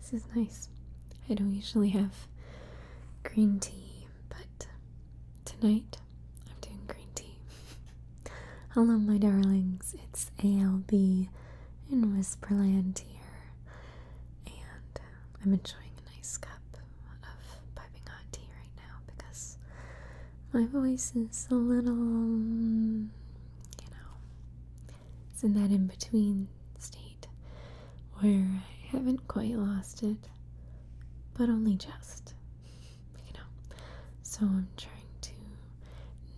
This is nice. I don't usually have green tea, but tonight I'm doing green tea. Hello, my darlings. It's ALB in Whisperland here, and I'm enjoying a nice cup of piping hot tea right now because my voice is a little, you know, it's in that in between state where I haven't quite lost it, but only just. You know? So I'm trying to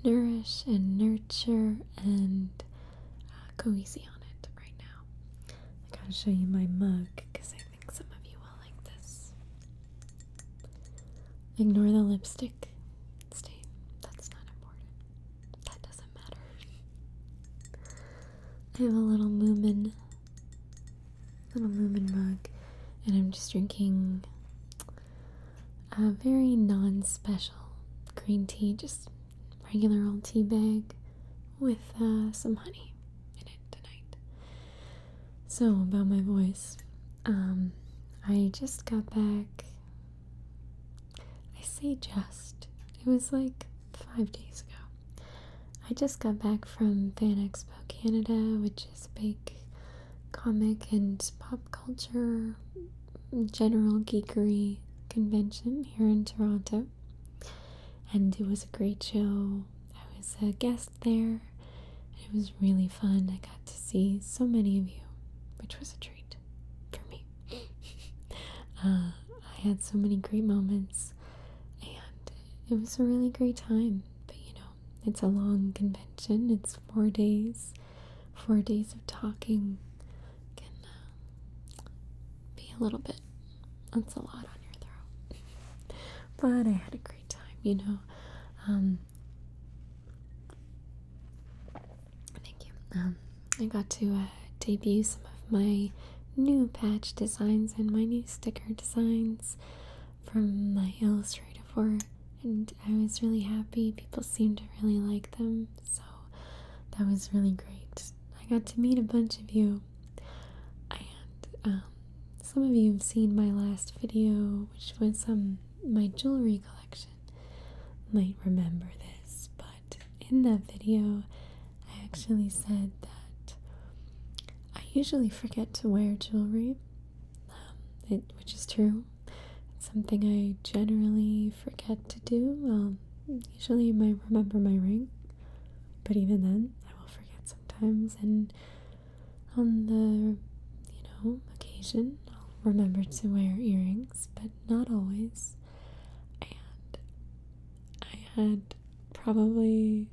nourish and nurture and go uh, easy on it right now. I gotta show you my mug because I think some of you will like this. Ignore the lipstick stain, that's not important. That doesn't matter. I have a little Moomin, little Moomin mug, and I'm just drinking a very non-special green tea, just regular old tea bag with uh, some honey in it tonight. So about my voice, um, I just got back I say just. It was like five days ago. I just got back from Fan Expo Canada, which is a big comic and pop culture general geekery convention here in Toronto. And it was a great show. I was a guest there. It was really fun. I got to see so many of you, which was a treat for me. Uh, I had so many great moments, and it was a really great time. But you know, it's a long convention, it's four days, four days of talking can uh, be a little bit, that's a lot on your throat. but I had a great time, you know. Um, Thank you. Um, I got to uh, debut some of my new patch designs and my new sticker designs from my Illustrator work, and I was really happy. People seemed to really like them, so that was really great. I got to meet a bunch of you, and um, some of you have seen my last video, which was um, my jewelry collection might remember this, but in that video, I actually said that I usually forget to wear jewelry, um, it, which is true. It's something I generally forget to do. Um, usually, I remember my ring, but even then, I will forget sometimes. And on the you know occasion, i remember to wear earrings, but not always. And I had probably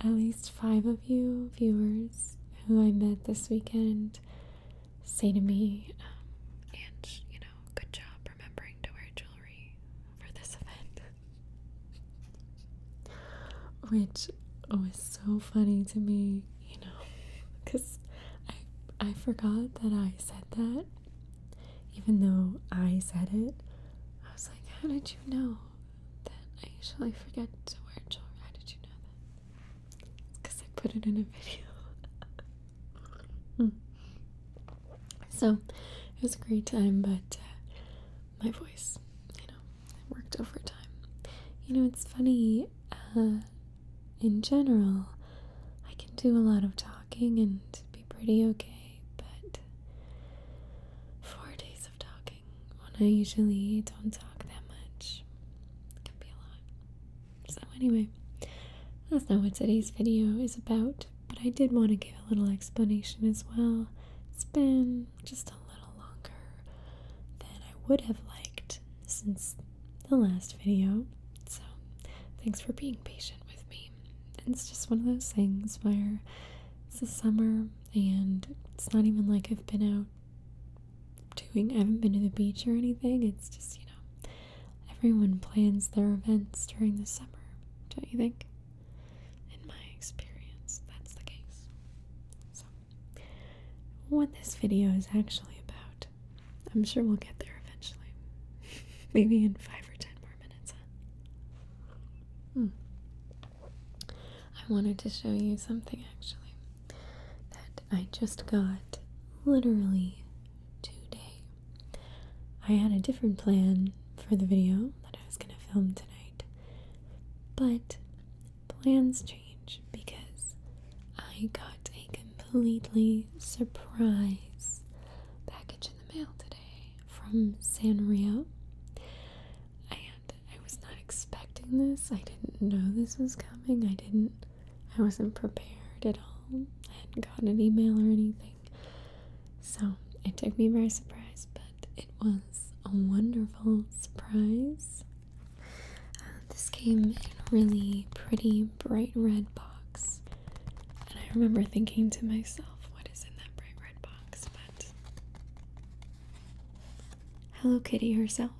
at least five of you viewers who I met this weekend say to me, um, and you know, good job remembering to wear jewelry for this event. Which was so funny to me you know, because I I forgot that I said that, even though I said it. I was like, how did you know that I usually forget to wear jewelry? How did you know that? Because I put it in a video. Hmm. So it was a great time, but uh, my voice, you know, it worked overtime. You know, it's funny. Uh, in general, I can do a lot of talking and be pretty okay, but four days of talking when I usually don't talk that much can be a lot. So, anyway, that's not what today's video is about, but I did want to give a little explanation as well. It's been just a little longer than I would have liked since the last video, so thanks for being patient with me. It's just one of those things where it's the summer and it's not even like I've been out doing, I haven't been to the beach or anything. It's just, you know, everyone plans their events during the summer, don't you think? In my experience, that's the case. So, what this video is actually about. I'm sure we'll get there eventually. Maybe in five or ten more minutes. Hmm. I wanted to show you something actually that I just got literally today. I had a different plan for the video that I was going to film tonight, but plans change because I got a completely surprise package in the mail today from Sanrio. And I was not expecting this. I didn't know this was coming. I didn't, I wasn't prepared at all. I hadn't gotten an email or anything. So it took me by surprise, but it was a wonderful surprise. Uh, this came in a really pretty bright red box, and I remember thinking to myself, what is in that bright red box? But Hello Kitty herself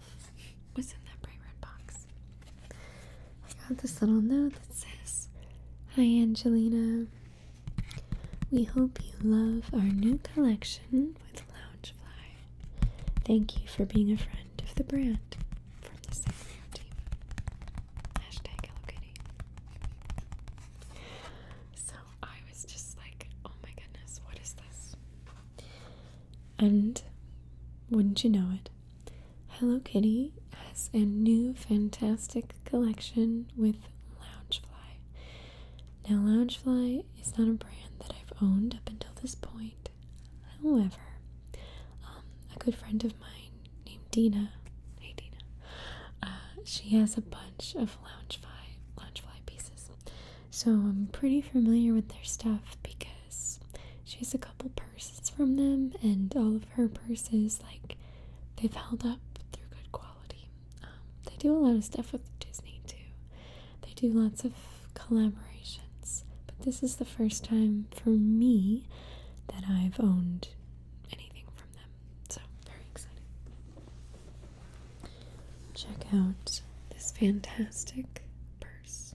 was in that bright red box. I got this little note that says, Hi Angelina. We hope you love our new collection with Loungefly. Thank you for being a friend of the brand from the Sacramento team. Hashtag Hello Kitty. So I was just like, oh my goodness, what is this? And wouldn't you know it, Hello Kitty has a new fantastic collection with Loungefly. Now, Loungefly it's not a brand that I've owned up until this point. However, um, a good friend of mine named Dina, hey Dina, uh, she has a bunch of Loungefly, Loungefly pieces. So I'm pretty familiar with their stuff because she has a couple purses from them, and all of her purses, like, they've held up through good quality. Um, they do a lot of stuff with Disney too. They do lots of collaborations, but this is the first time for me that I've owned anything from them. So, very exciting. Check out this fantastic purse.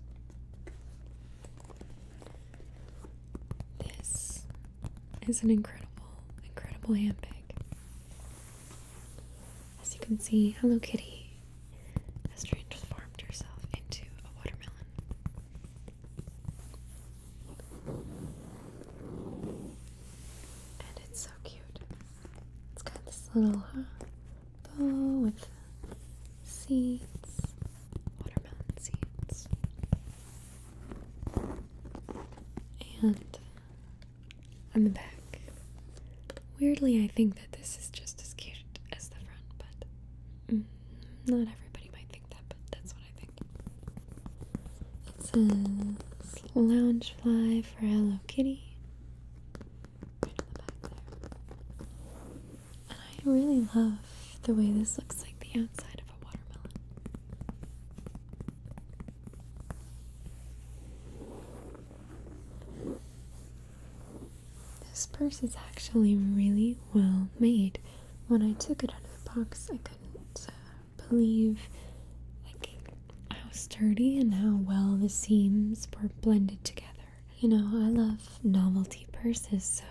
This is an incredible, incredible handbag. As you can see, Hello Kitty has transformed herself into a watermelon. And it's so cute. It's got this little uh, bow with seeds, watermelon seeds. And on the back. Weirdly, I think that this is just as cute as the front, but mm, not everybody might think that, but that's what I think. It says fly" for Hello Kitty. Right on the back there. And I really love the way this looks like the outside of a watermelon. This purse is actually really well made. When I took it out of the box, I couldn't uh, believe how sturdy and how well the seams were blended together. You know, I love novelty purses, so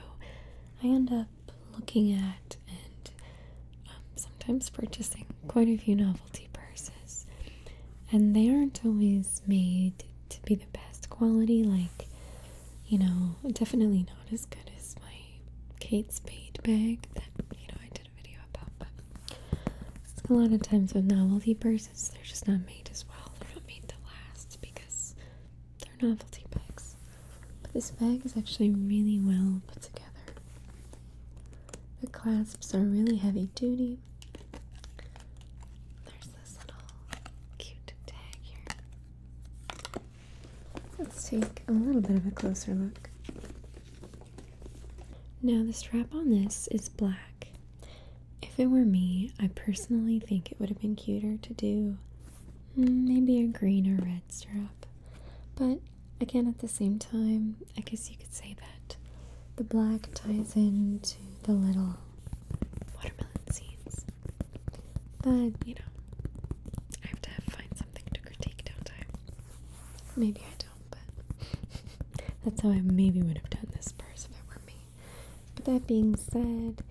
I end up looking at and um, sometimes purchasing quite a few novelty novelty purses. And they aren't always made to be the best quality, like, you know, definitely not as good as my Kate Spade bag that, you know, I did a video about. But a lot of times with novelty purses, they're just not made as well. They're not made to last because they're novelty bags. But this bag is actually really well put together. The clasps are really heavy duty. There's this little cute tag here. Let's take a little bit of a closer look. Now, the strap on this is black. If it were me, I personally think it would have been cuter to do mm, maybe a green or red strap. But again, at the same time, I guess you could say that the black ties into the little watermelon seeds. But, you know, I have to find something to critique, don't I? Maybe I don't, but that's how I maybe would have done this purse if it were me. But that being said,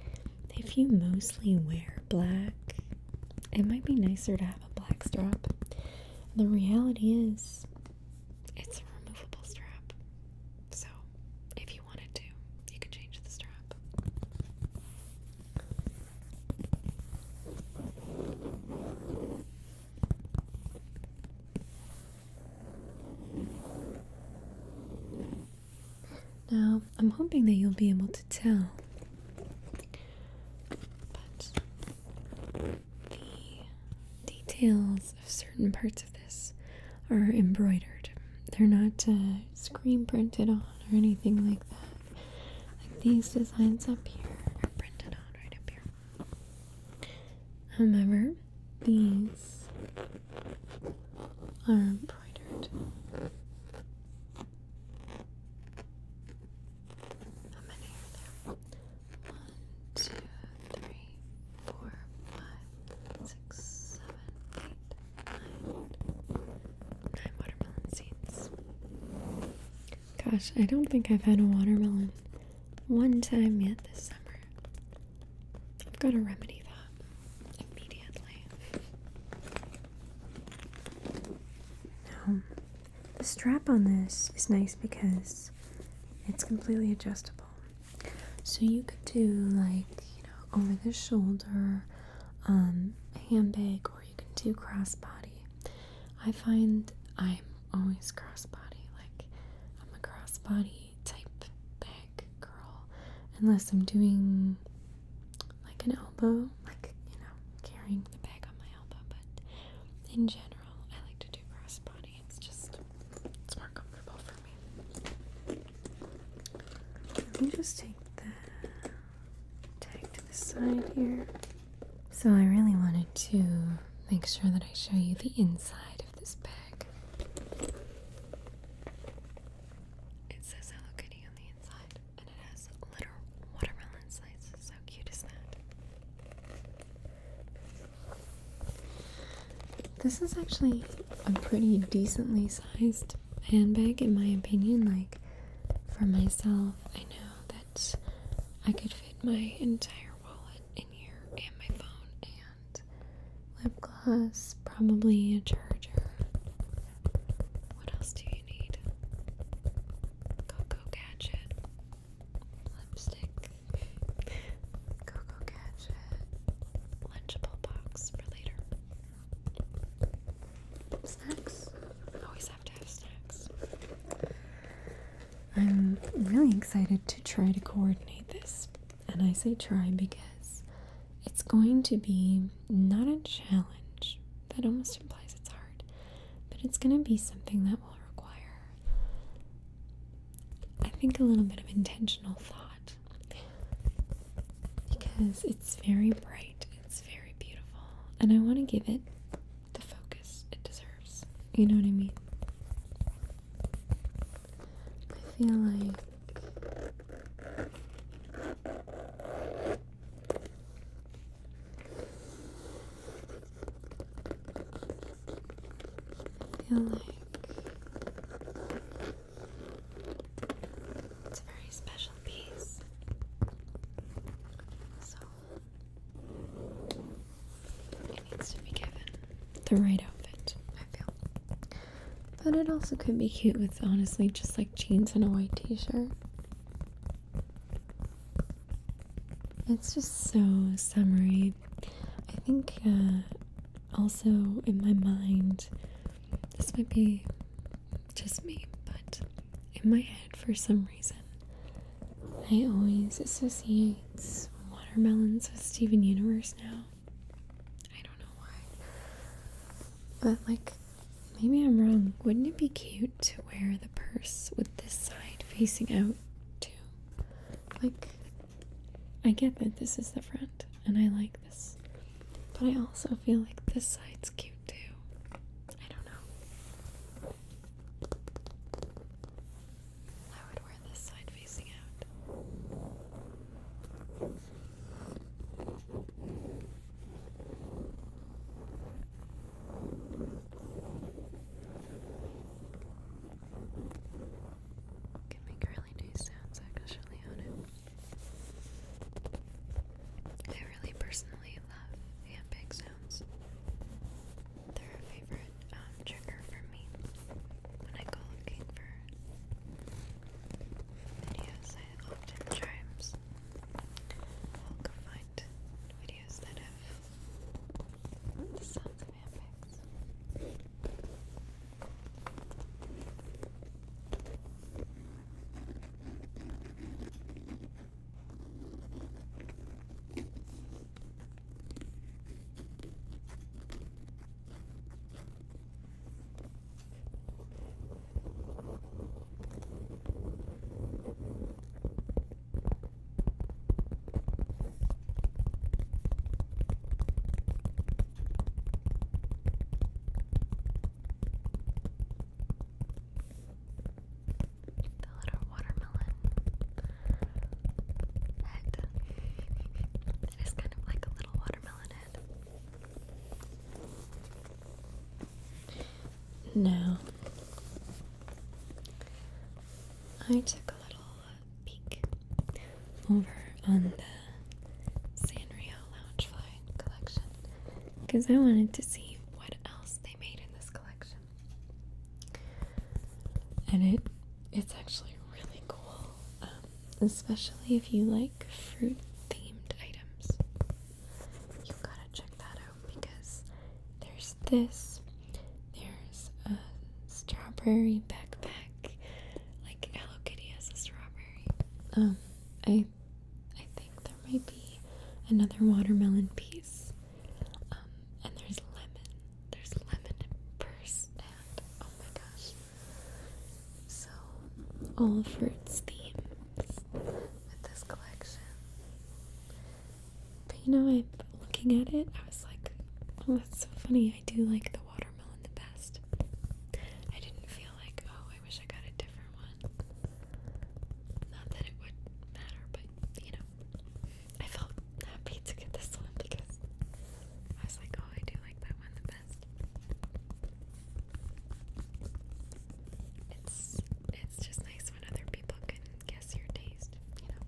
if you mostly wear black, it might be nicer to have a black strap. The reality is, it's a removable strap. So, if you wanted to, you could change the strap. Now, I'm hoping that you'll be able to tell. But the details of certain parts of this are embroidered. They're not uh, screen printed on or anything like that. Like these designs up here are printed on right up here. However, these are embroidered. How many are there? One, two, three, four, five, watermelon seeds. Gosh, I don't think I've had a watermelon one time yet this summer. I've got to remedy that immediately. Now, the strap on this is nice because it's completely adjustable. So you could do like, you know, over the shoulder, um, handbag, or you can do crossbody. I find I'm always crossbody, like I'm a crossbody type bag girl, unless I'm doing like an elbow, like, you know, carrying the bag on my but in general, I like to do crossbody. It's just, it's more comfortable for me. Let me just take the tag to the side here. So I really wanted to make sure that I show you the inside of this bag. It says Hello Kitty on the inside, and it has little watermelon slices. How cute is that? This is actually a pretty decently sized handbag, in my opinion. Like, for myself, I know that I could fit my entire wallet in here, and my phone, and lip gloss, probably a charger. What else do you need? Coco Gadget lipstick, Coco Gadget, Lunchable box for later. Snacks? Always have to have snacks. I'm really excited to try to coordinate this. And I say try because it's going to be not a challenge. That almost implies it's hard but it's going to be something that will require, I think, a little bit of intentional thought because it's very bright, it's very beautiful, and I want to give it the focus it deserves. You know what I mean? I feel like feel like it's a very special piece. So it needs to be given the right outfit, I feel. But it also could be cute with honestly just like jeans and a white t shirt. It's just so summery. I think uh, also in my mind, this might be just me, but in my head, for some reason, I always associate watermelons with Steven Universe now. I don't know why. But, like, maybe I'm wrong. Wouldn't it be cute? to wear the purse with this side facing out too. Like, I get that this is the front and I like this, but I also feel like this side's cute too. I don't know. I would wear this side facing out. Can make really nice sounds actually on it. I really personally love handpick sounds. They're a favorite um, trigger for me when I go looking for videos. I often times will go find videos videos that the sounds of handbags. The little watermelon head. it is kind of like a little watermelon head. Now, I took a little uh, peek over on the Sanrio Lounge collection because I wanted to see what else they made in this collection. And it it's actually really cool, um, especially if you like fruit themed items you gotta check that out because there's this, there's a strawberry backpack, like Hello Kitty has a strawberry. Um, I, I think there might be another watermelon piece. Um, and there's lemon, there's lemon purse, and oh my gosh, so all fruits themes with this collection. But you know, I'm looking at it, I was like, oh, that's so funny. I do like the watermelon the best. I didn't feel like, oh, I wish I got a different one. Not that it would matter, but you know, I felt happy to get this one because I was like, oh, I do like that one the best. It's it's just nice when other people can guess your taste, you know.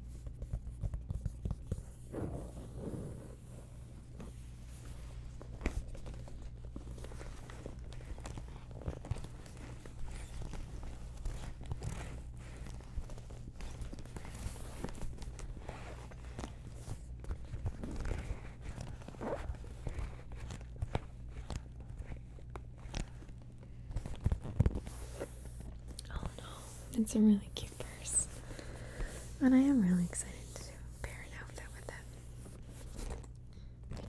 All oh, in it's a really cute purse. And I am really excited to pair an outfit with it.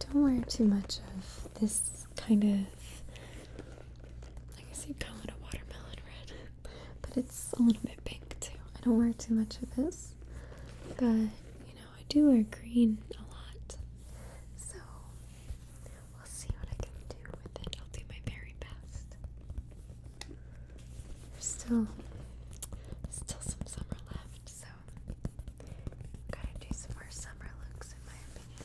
I don't wear too much of this kind of, I guess you'd call it a watermelon red, but it's a little bit pink too. I don't wear too much of this, but you know. I do wear green a lot, so we'll see what I can do with it. I'll do my very best. There's still, still some summer left, so gotta do some more summer looks, in my opinion.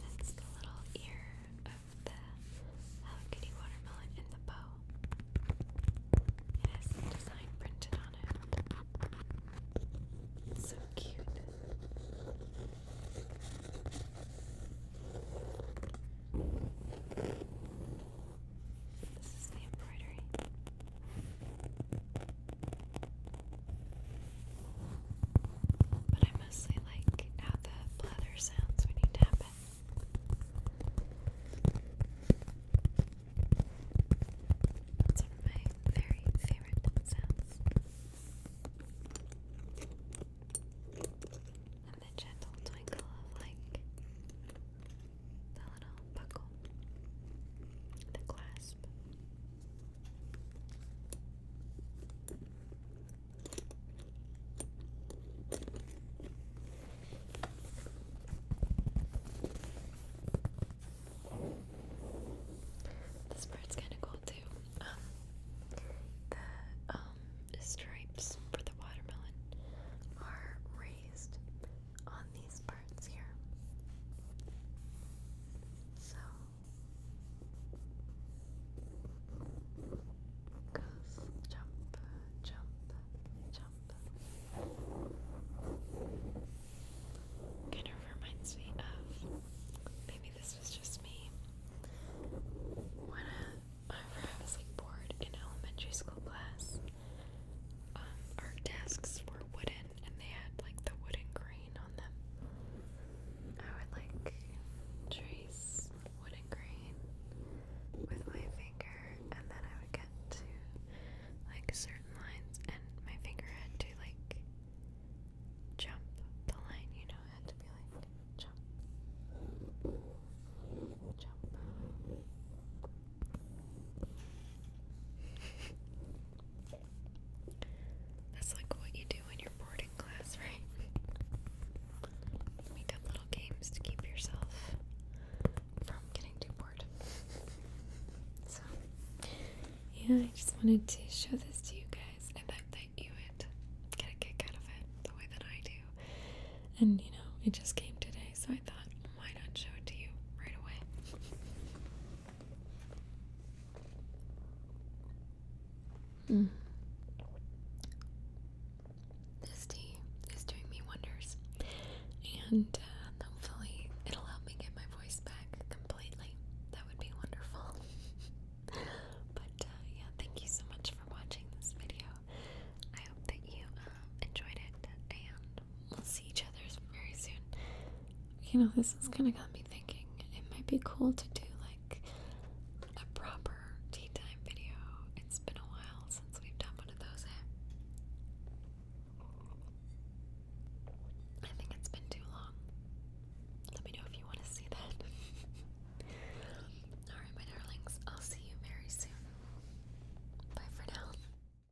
That's the little ear of the Hello watermelon in the bow. It design printed on it. so cute. This is the embroidery. But I mostly like how the leather sounds when you tap it. That's one of my very favorite sounds. And the gentle twinkle of like the little buckle, the clasp. This part's kind of cool too. Um, the um, stripes for the watermelon are raised, on these parts here. So jump, jump, jump. Kind of reminds me of maybe this was just me when I, uh, I was like bored in elementary school class. Um, our desks were wooden and they had like the wooden grain on them. I would like trace wooden grain with my finger and then I would get to like certain lines and my finger had to like jump the line, you know, had to be like Jump. Jump. That's like what you do when you're class, right? You make up little games to keep yourself from getting too bored. So, yeah, I just wanted to show this to you guys. I that you would get a kick out of it the way that I do. And you know, it just came today, so I thought, why not show it to you right away? Hmm. This tea is doing me wonders, and uh, hopefully, it'll help me get my voice back completely. That would be wonderful. but uh, yeah, thank you so much for watching this video. I hope that you uh, enjoyed it, and we'll see each other very soon. You know, this has kind of got me thinking it might be cool to do like a proper tea time video. It's been a while since we've done one of those. Eh? I think it's been too long. Let me know if you want to see that. Alright, my darlings, I'll see you very soon. Bye for now.